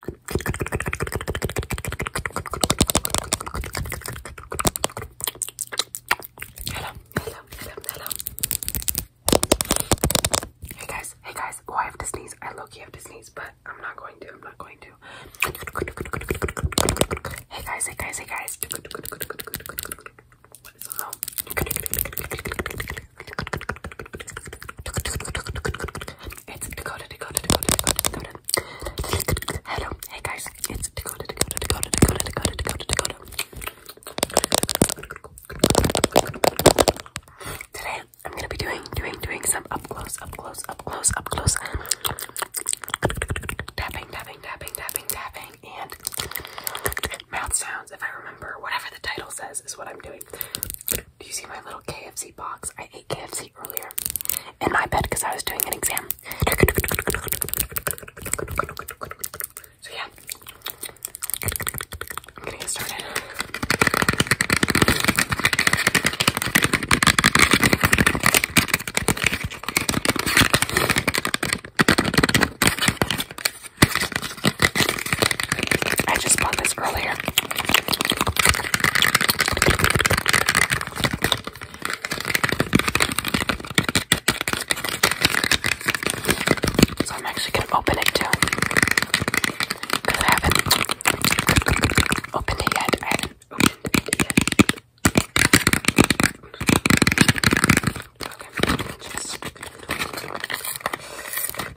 Hello, hello, hello, hello. Hey guys, hey guys. Oh, I have to sneeze. I low-key have to sneeze, but I'm not going to. I'm not going to. Hey guys, hey guys, hey guys. What is the sound? It's Dakota, Dakota, Dakota, Dakota, Dakota. Hello, hey guys, it's Dakota, Dakota, Dakota, Dakota, Dakota, Dakota, Dakota. Today I'm gonna be doing, doing, doing some up close, up close, up close, up close, tapping, tapping, tapping, tapping, tapping, and mouth sounds. If I remember, whatever the title says is what I'm doing. Do you see my little KFC box? I ate KFC earlier in my bed because I was doing an exam. So yeah, I'm gonna get started. I just bought this earlier. So I'm actually going to open it too. Because I haven't opened it yet. I haven't opened it yet. Okay, just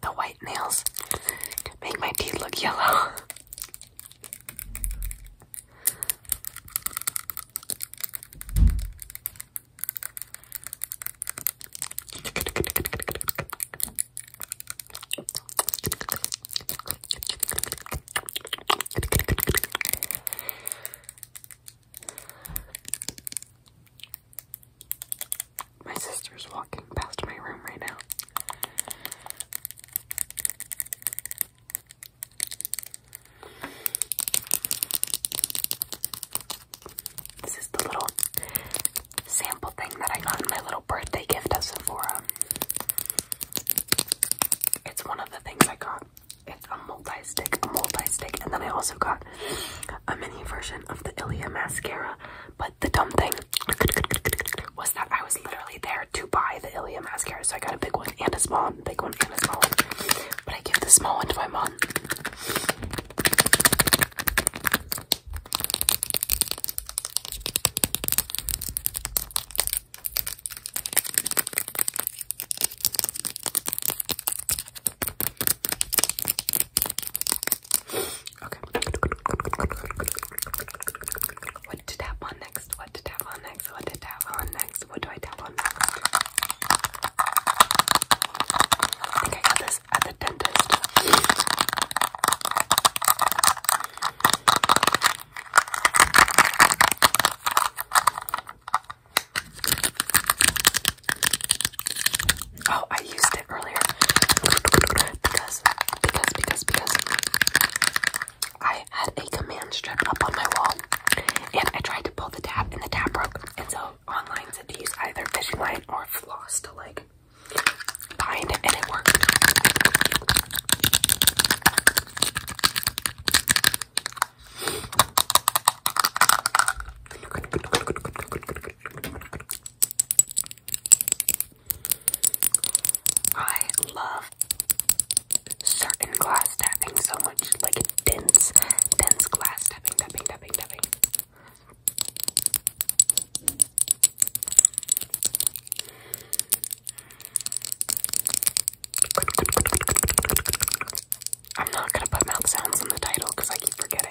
the white nails make my teeth look yellow. My sister's walking past my room right now. This is the little sample thing that I got my little birthday gift at Sephora. It's one of the things I got. It's a multi-stick, a multi-stick, and then I also got a mini version of the Ilia mascara. But the dumb thing was that I was literally there to buy the Ilia mascara, so I got a big one and a small one, big one and a small one. But I gave the small one to my mom. What to tap on next? What to tap on next? What to tap on next? What do I tap on I think I got this at the dentist. Oh, I used it earlier because because because because I had a command strip up on my wall and I tried to pull the tap, and the tap broke. And so online said to use either fishing line or floss to like bind it and it worked. I love certain glass tapping so much, like dense, dense glass tapping, tapping, tapping, tapping. I'm not gonna put mouth sounds in the title because I keep forgetting.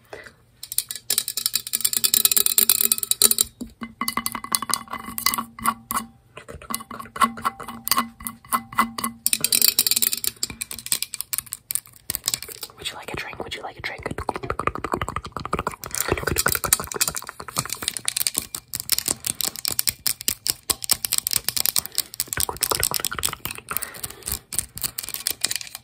Would you like a drink? Would you like a drink?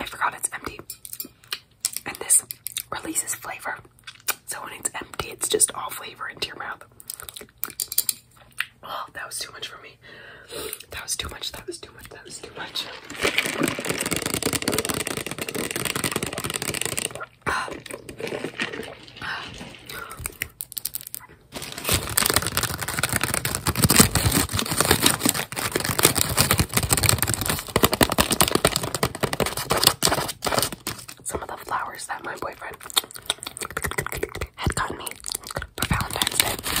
I forgot it's empty. And this releases flavor. So when it's empty, it's just all flavor into your mouth. Oh, that was too much for me. That was too much. That was too much. That was too much. Some of the flowers that my boyfriend had gotten me for Valentine's Day.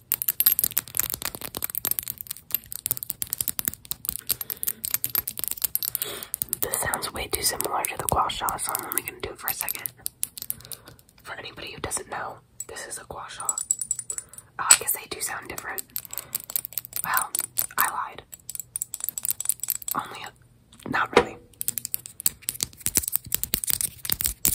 This sounds way too similar to the gua so I'm only gonna do it for a second. For anybody who doesn't know, this is a gua oh, I guess they do sound different. Well, I lied. Only, not really.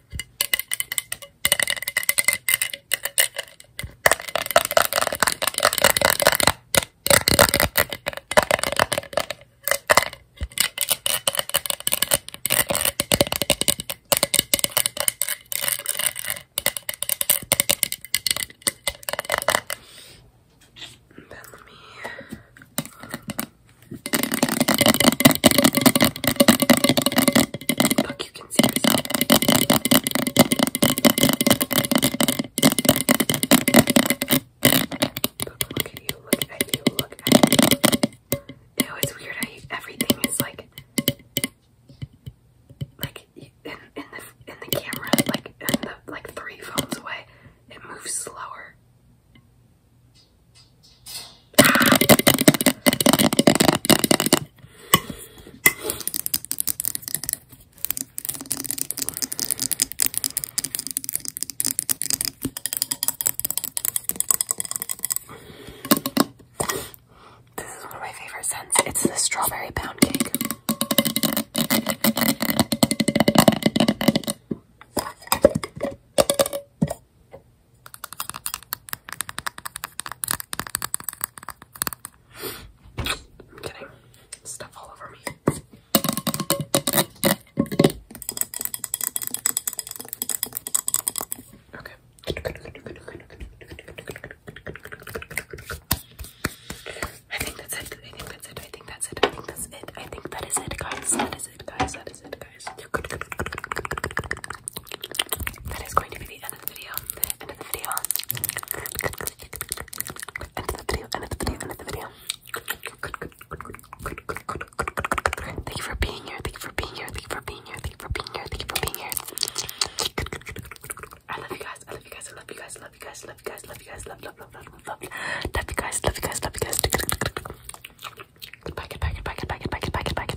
Then let me Fuck you you can see yourself. look at you, look at you, look at you. Ew, it's weird everything is like, like in, in the in the camera, like in the like three phones away, it moves slower. This is one of my favorite scents. It's the strawberry pound cake. I'm kidding. Stuff all over me. Okay. I think that's it. I think that's it. I think that's it. I think that's it. I think that is it, guys. That is it, guys. That is it, guys guys. That is going to be the end of the video. End of the video. End of the video. End of the video. End of the video. Thank you for being here. Thank you for being here. Thank you for being here. Thank you for being here. Thank you for being here. I love you guys. I love you guys. I love you guys. I love you guys. I love you guys. Love you guys. Love love love love love. Love you guys. Love you guys. Love you guys. Goodbye. Goodbye. Goodbye. Goodbye. Goodbye. Goodbye. Goodbye.